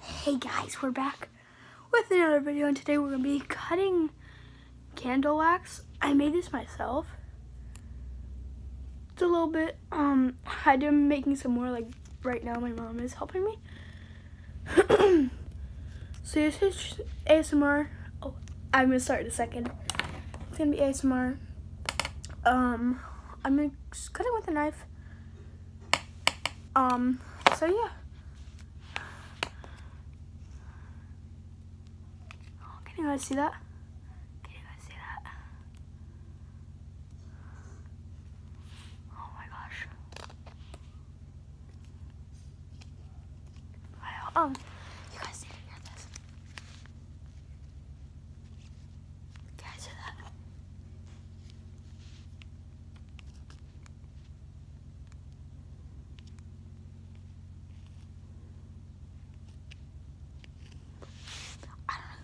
Hey guys, we're back with another video and today we're going to be cutting candle wax. I made this myself. It's a little bit, um, I've making some more like right now my mom is helping me. so this is ASMR. Oh, I'm going to start in a second. It's going to be ASMR. Um, I'm going to cut it with a knife. Um, so yeah. can you guys see that? Can you guys see that? Oh my gosh. Um, guys I don't know if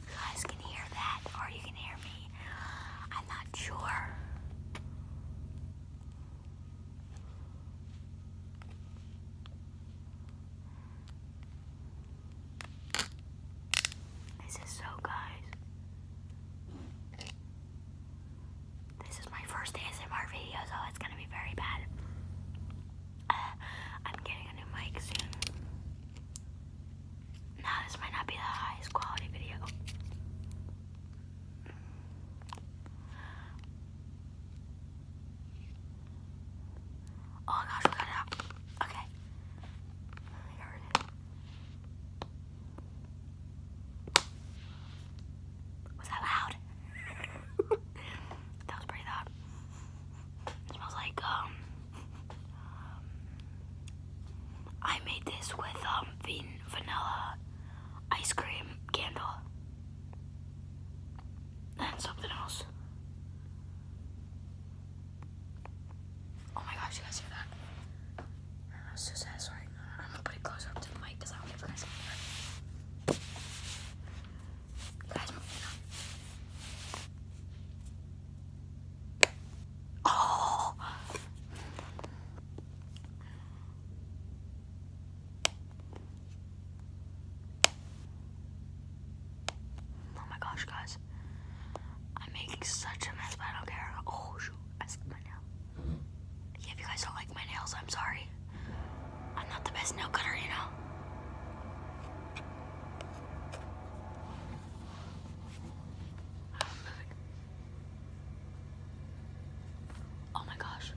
you guys can hear that or you can hear me. I'm not sure. This is so guys. This is my first ASMR video, so it's gonna be very bad. I'm getting a new mic soon. Now this might not be the highest quality video. Oh gosh, we got it out. Okay. I got Was that loud? that was pretty loud. smells like um I made this with um vanilla ice cream candle. And something else. Oh my gosh, you guys hear that? That was so satisfying. I'm gonna put it closer up to the mic because I don't want you guys to hear You guys moving up. Oh! Oh my gosh, guys. I'm making such a mess, I don't care. Oh, shoot. I slipped my nail. Yeah, if you guys don't like my nails, I'm sorry. I'm not the best nail cutter, you know? Oh my gosh.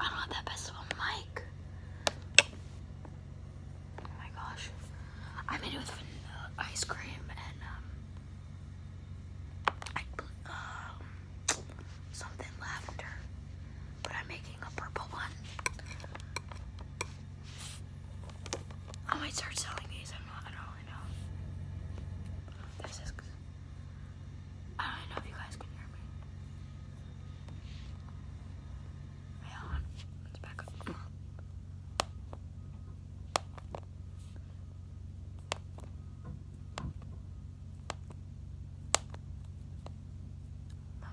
I don't have that best of a mic. Oh my gosh. I made it with vanilla ice cream and um, I, um, something lavender. But I'm making a purple one. I might start selling these. I'm not. I don't really know. This is. I don't know if you guys can hear me. Wait, on. Let's back up.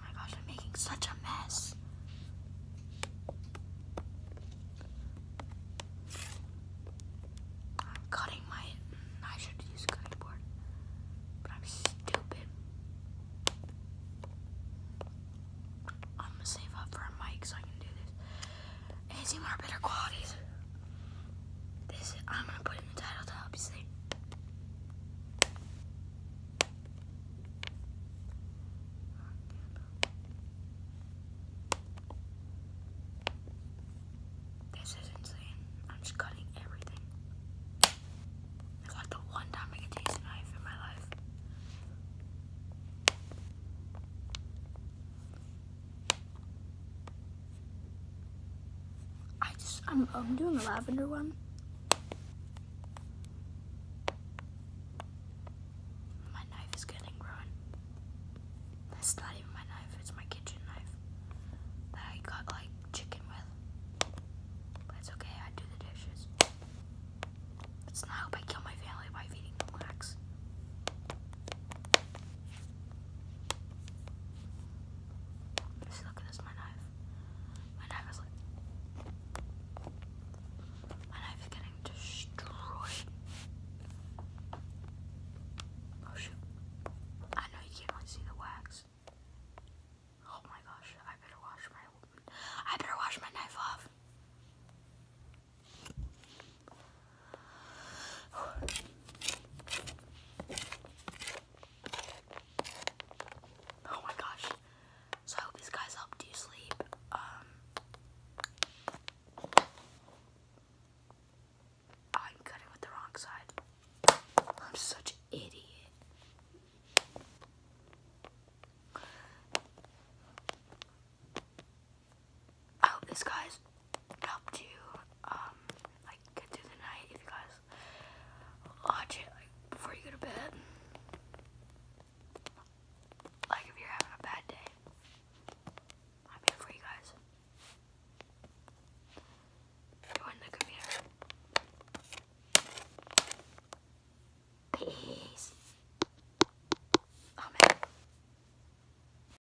Oh my gosh, I'm making such a mess. I'm cutting my. I should use cutting board, but I'm stupid. I'm gonna save up for a mic so I can do this. It's more better qualities. This I'm gonna put in the title to help you sleep. This is insane. I'm just cutting everything. It's like the one time I can taste a knife in my life. I just I'm, I'm doing a lavender one. My knife is getting ruined. That's not even my knife, it's my kitchen knife that I got like chicken with. But it's okay, I do the dishes. Let's not hope I kill my family by feeding them look at this, my knife. My knife is like... My knife is getting destroyed. Oh shoot. I know you can't really see the wax. Oh my gosh, I better wash my... I better wash my knife off. Oh my gosh. So I hope these guys helped you sleep. Um, I'm cutting with the wrong side. I'm such an idiot. I hope this guys up to um like get through the night if you guys watch it before you go to bed. Like if you're having a bad day. I'm for you guys. Join the computer. Peace. Oh